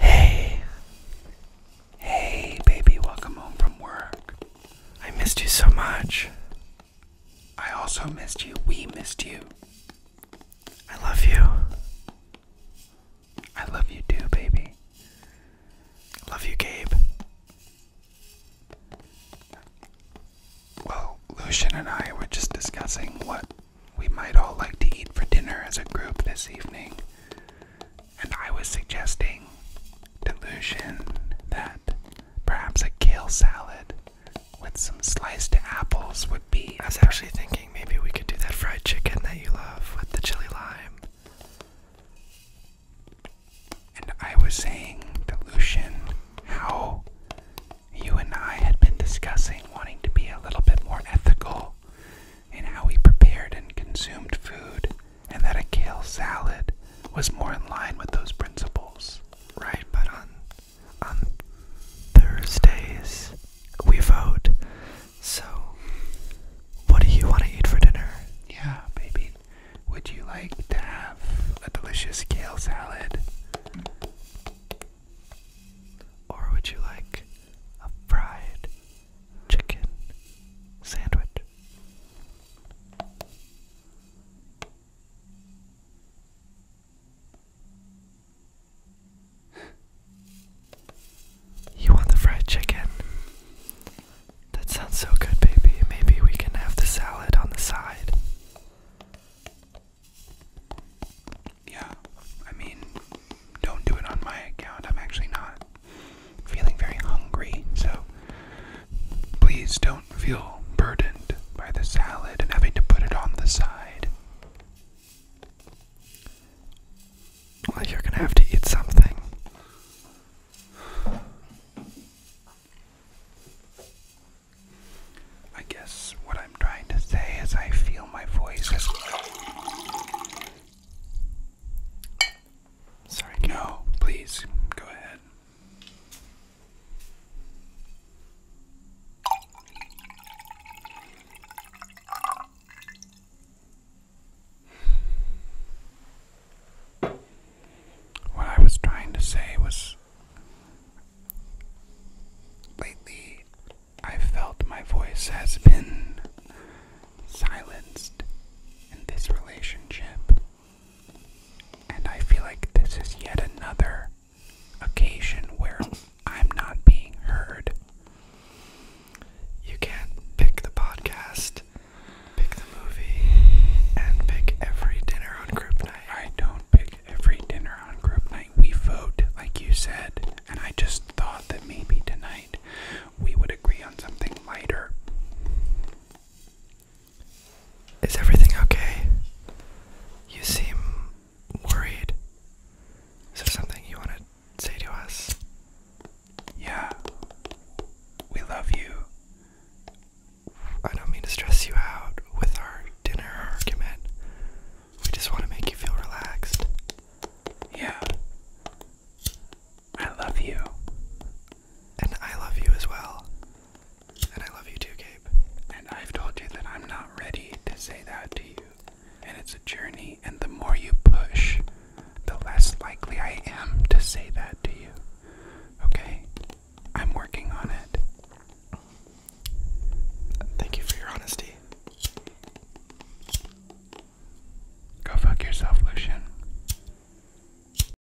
Hey. Hey, baby, welcome home from work. I missed you so much. I also missed you. We missed you. I love you. I love you too, baby. Love you, Gabe. Well, Lucian and I were just discussing what we might all like to eat for dinner as a group this evening, and I was suggesting delusion that perhaps a kale salad with some sliced apples would be. I was actually thinking maybe we could do that fried chicken that you love with the chili lime. And I was saying, Delusion, how you and I had been discussing wanting to be a little bit more ethical in how we prepared and consumed food, and that a kale salad was more in line with those principles. Right, but on on Thursdays we vote. So what do you want to eat for dinner? Yeah, baby, would you like to have a delicious kale salad? Or would you like a fried chicken sandwich? You want the fried chicken? That sounds so good, baby. Maybe we can have the salad on the side. Yeah, I mean, don't do it on my account. I'm actually not feeling very hungry, so please don't feel burdened by the salad and having to put it on the side. Well, you're gonna have to eat something. I guess what I'm trying to say is I feel my voice is. Sorry, no, please, go ahead. What I was trying to say was lately I felt my voice has been silenced in this relationship, and I feel like this is yet another occasion where I'm not being heard, you can pick the podcast, pick the movie, and pick every dinner on group night. I don't pick every dinner on group night. We vote, like you said, and I just thought that maybe tonight we would agree on something lighter. Is everything okay? You seem worried. Is there something you want to say to us? Yeah. We love you. I don't mean to stress you out with our dinner argument. We just want to make you feel relaxed. Yeah. I love you. And I love you as well. And I love you too, Gabe. And I've told you that I'm not ready to say that to you. And it's a journey, and the more you push, the less likely I am to say that to you. Okay? I'm working on it. Thank you for your honesty. Go fuck yourself, Lucian.